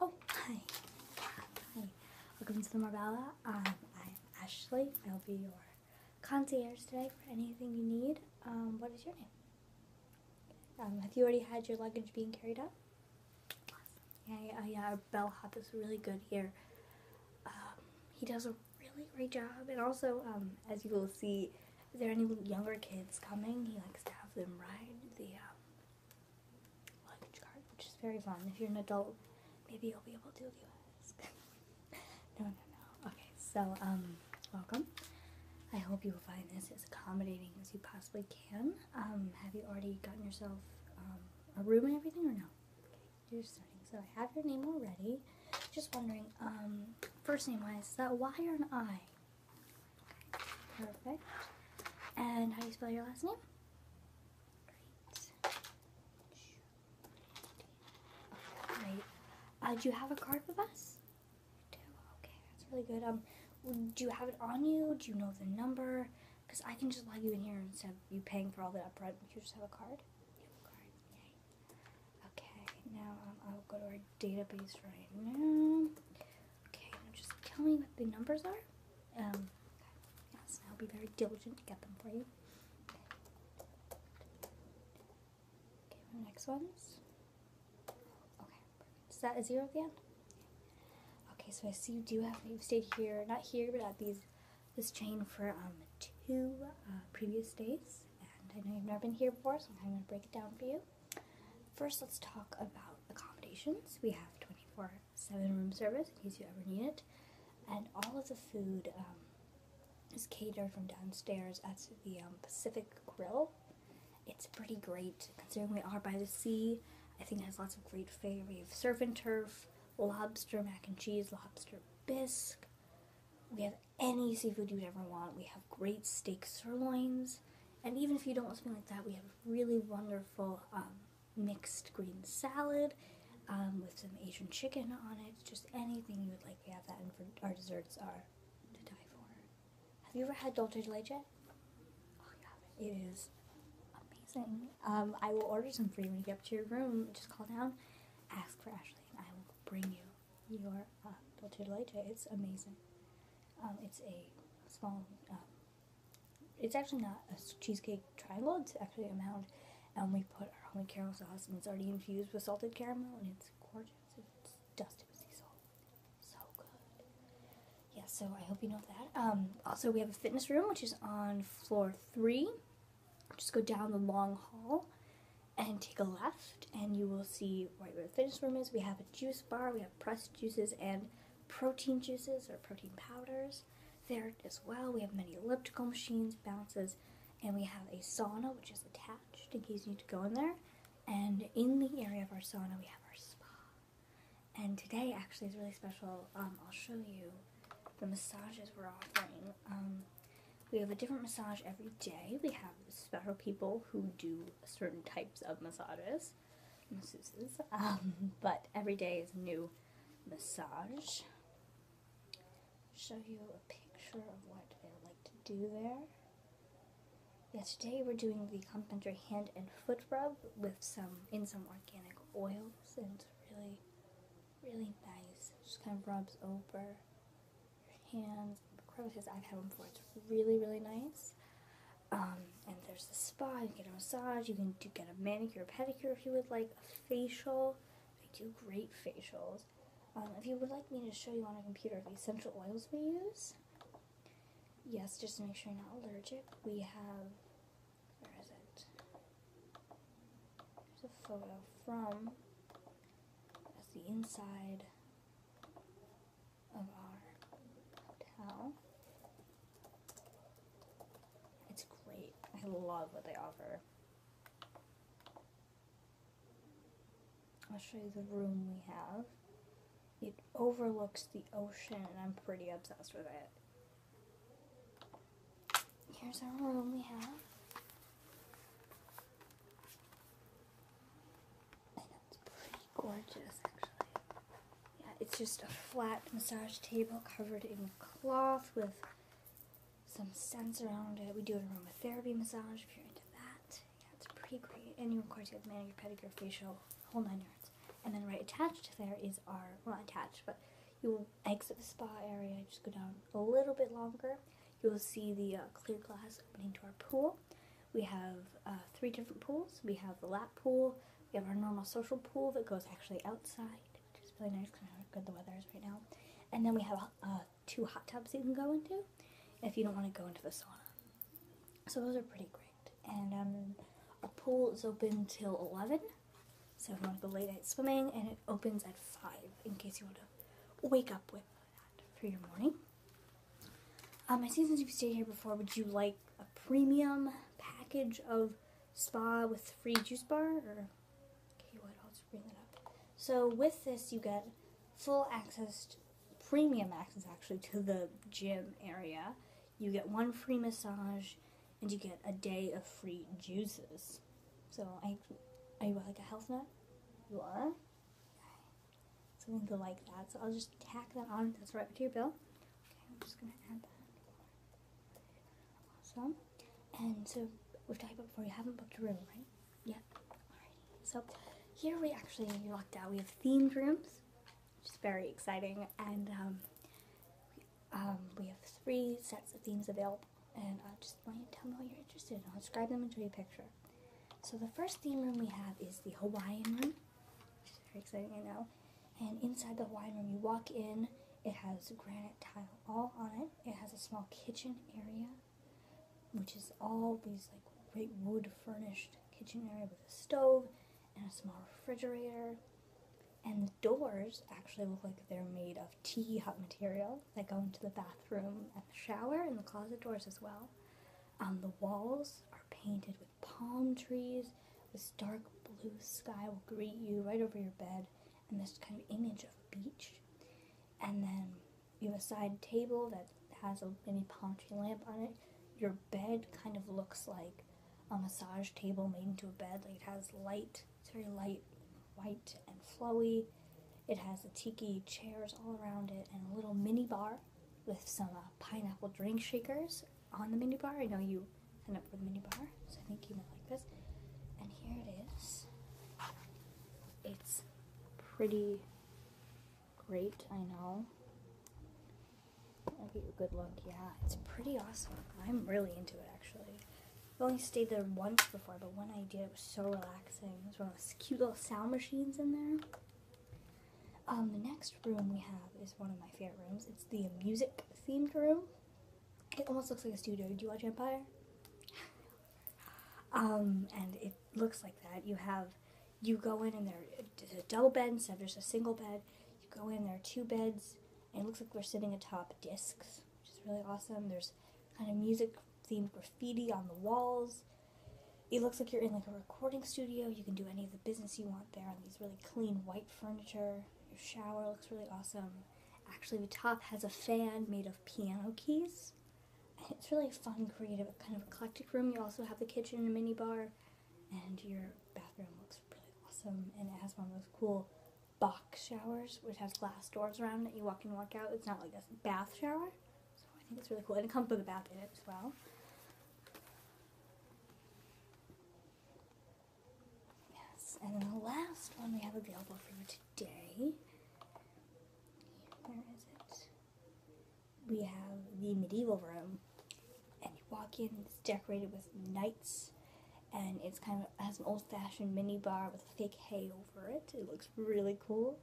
Oh, hi. Hi. Welcome to the Marbella. Um, I'm Ashley. I'll be your concierge today for anything you need. Um, what is your name? Um, have you already had your luggage being carried up? Yeah, yeah, yeah. Our bellhop is really good here. he does a really great job, and also, as you will see is there any younger kids coming? He likes to have them ride the um, luggage cart, which is very fun. If you're an adult, maybe you'll be able to do this. no, no, no. Okay, so um, welcome. I hope you will find this as accommodating as you possibly can. Um, have you already gotten yourself um, a room and everything, or no? Okay, you're starting. So I have your name already. Just wondering, um, first name wise, is that Y or an I? perfect. And how do you spell your last name? Great. great. Uh, do you have a card with us? do. Okay, that's really good. Um, do you have it on you? Do you know the number? Because I can just log you in here instead of you paying for all that upfront. You just have a card. card. Okay, now um, I'll go to our database right now. Okay, just tell me what the numbers are. Um, okay. Yes, I'll be very diligent to get them for you. Okay, next ones. Okay, perfect. that a zero at the end? Okay, so I see you do have, you've stayed here, not here, but at these, this chain for um, two uh, previous days. And I know you've never been here before, so I'm going to break it down for you. First, let's talk about accommodations. We have 24 7 room service in case you ever need it. And all of the food um, is catered from downstairs at the um, Pacific Grill. It's pretty great considering we are by the sea. I think it has lots of great food. We have surf and turf, lobster mac and cheese, lobster bisque. We have any seafood you'd ever want. We have great steak sirloins, and even if you don't want something like that, we have really wonderful um, mixed green salad um, with some Asian chicken on it. Just anything you would like, we have that, and for our desserts are to die for. Have you ever had dulce de leche? Oh, yeah, it is amazing. Um, I will order some for you when you get up to your room. Just call down, ask for Ashley, and I will bring you your uh, Dolce Leche. It's amazing. Um, it's a small, um, it's actually not a cheesecake triangle, it's actually a mound. And we put our homemade caramel sauce, and it's already infused with salted caramel, and it's gorgeous. It's dusted with sea salt. So good. Yeah, so I hope you know that. Um, also, we have a fitness room, which is on floor three just go down the long hall and take a left and you will see right where the fitness room is. We have a juice bar, we have pressed juices and protein juices or protein powders there as well. We have many elliptical machines, bounces, and we have a sauna which is attached in case you need to go in there. And in the area of our sauna we have our spa. And today actually is really special. Um, I'll show you the massages we're offering. Um, we have a different massage every day. We have special people who do certain types of massages, masseuses, um, but every day is new massage. Show you a picture of what they like to do there. Yeah, today we're doing the complimentary hand and foot rub with some in some organic oils and it's really really nice. It just kind of rubs over your hands. I've had one before. It's really, really nice. Um, and there's the spa. You can get a massage. You can do, get a manicure, pedicure if you would like. A facial. They do great facials. Um, if you would like me to show you on a computer the essential oils we use, yes, just make sure you're not allergic, we have, where is it? There's a photo from. That's the inside of our hotel. It's great. I love what they offer. I'll show you the room we have. It overlooks the ocean and I'm pretty obsessed with it. Here's our room we have. And it's pretty gorgeous, actually. Yeah, it's just a flat massage table covered in cloth with some scents around it. We do an aromatherapy massage if you're into that. Yeah, it's pretty great. And you, of course, you have manicure, pedicure, facial, whole nine yards. And then right attached there is our, well, attached, but you will exit the spa area just go down a little bit longer. You will see the uh, clear glass opening to our pool. We have uh, three different pools. We have the lap pool. We have our normal social pool that goes actually outside, which is really nice because how good the weather is right now. And then we have uh, two hot tubs you can go into if you don't want to go into the sauna. So those are pretty great. And um, our pool is open till 11. So if you want to go late night swimming, and it opens at 5 in case you want to wake up with that for your morning. Um, I see since you've stayed here before, would you like a premium package of spa with free juice bar? Or, okay, what? I'll just bring that up. So with this, you get full access, to, premium access actually, to the gym area. You get one free massage, and you get a day of free juices. So I, are you like a health nut? You are. Okay. So I'm gonna like that. So I'll just tack that on. That's right to your bill. Okay, I'm just gonna add that. Awesome. And so we've talked about before. You haven't booked a room, right? Yep. Yeah. Alrighty. So here we actually locked out. We have themed rooms, which is very exciting, and um, um, we have three sets of themes available and I just want you to tell me what you're interested in. I'll describe them and show you a picture. So the first theme room we have is the Hawaiian room, which very exciting, I know. And inside the Hawaiian room, you walk in, it has granite tile all on it. It has a small kitchen area, which is all these like great wood furnished kitchen area with a stove and a small refrigerator and the doors actually look like they're made of tea hot material that go into the bathroom and the shower and the closet doors as well. Um, the walls are painted with palm trees. This dark blue sky will greet you right over your bed, and this kind of image of beach. And then you have a side table that has a mini palm tree lamp on it. Your bed kind of looks like a massage table made into a bed. Like it has light it's very light white and flowy. It has the tiki chairs all around it and a little mini bar with some uh, pineapple drink shakers on the mini bar. I know you signed up for the mini bar, so I think you might like this. And here it is. It's pretty great, I know. I'll get you a good look. Yeah, it's pretty awesome. I'm really into it actually. I've only stayed there once before, but when I did, it was so relaxing. There's one of those cute little sound machines in there. Um, the next room we have is one of my favorite rooms. It's the music themed room. It almost looks like a studio. Do you watch Empire? Um, and it looks like that. You have, you go in and there's a double bed So there's a single bed. You go in, there are two beds, and it looks like we're sitting atop discs which is really awesome. There's kind of music themed graffiti on the walls. It looks like you're in like a recording studio. You can do any of the business you want there on these really clean white furniture. Your shower looks really awesome. Actually, the top has a fan made of piano keys. And it's really fun, creative, kind of eclectic room. You also have the kitchen and a mini bar, and your bathroom looks really awesome. And it has one of those cool box showers, which has glass doors around it. You walk in, walk out. It's not like a bath shower. So I think it's really cool. And it comes with a bath in it as well. Yes, and the last one we have available for you today. Where is it? We have the medieval room. And you walk in, it's decorated with knights and it's kind of has an old-fashioned mini bar with fake hay over it. It looks really cool.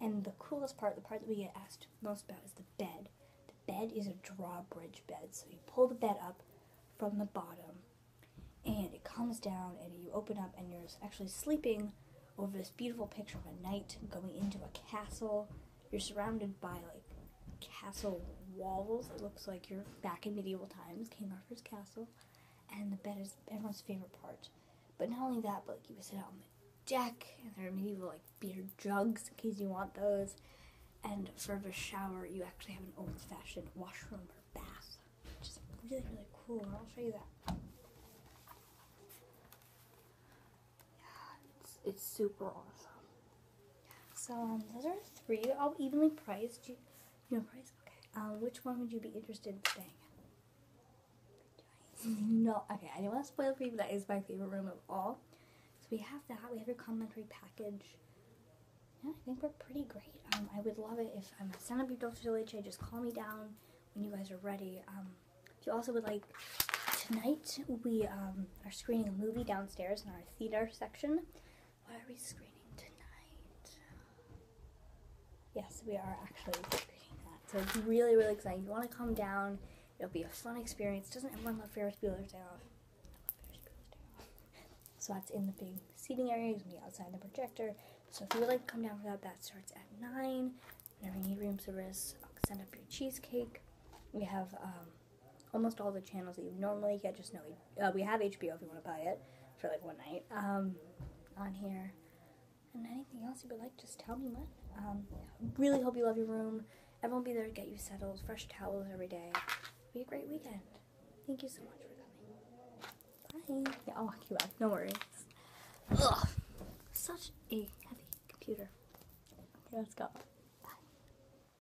And the coolest part, the part that we get asked most about, is the bed. The bed is a drawbridge bed, so you pull the bed up from the bottom, and it comes down, and you open up, and you're actually sleeping over this beautiful picture of a knight going into a castle. You're surrounded by like castle walls. It looks like you're back in medieval times, King Arthur's castle. And the bed is everyone's favorite part. But not only that, but like you can sit out on the deck, and there are medieval like beer jugs in case you want those. And for the shower, you actually have an old-fashioned washroom or bath, which is really really cool. And I'll show you that. Yeah, it's, it's super awesome. So um, those are three, all oh, evenly priced. You, price? Okay. Um, which one would you be interested in staying no, okay, I do not want to spoil for you, but that is my favorite room of all. So we have that, we have your complimentary package. Yeah, I think we're pretty great. Um, I would love it if um, I send up your Dolce Leche, just call me down when you guys are ready. if you also would like, tonight we are screening a movie downstairs in our theater section. Why are we screening tonight? Yes, we are actually screening that. So it's really, really exciting. If you want to come down, it'll be a fun experience. Doesn't everyone love Ferris Bueller's Day Off? So that's in the big seating area. It's going to be outside the projector. So if you would like to come down for that, that starts at 9. Whenever you need room service, i send up your cheesecake. We have um, almost all the channels that you normally get. Just know we, uh, have HBO if you want to buy it for like one night um, on here. And anything else you would like, just tell me when. Um, really hope you love your room. Everyone be there to get you settled. Fresh towels every be a great weekend. Thank you so much for coming. Bye. Yeah, I'll walk you out. No worries. Ugh. Such a heavy computer. Okay, let's go.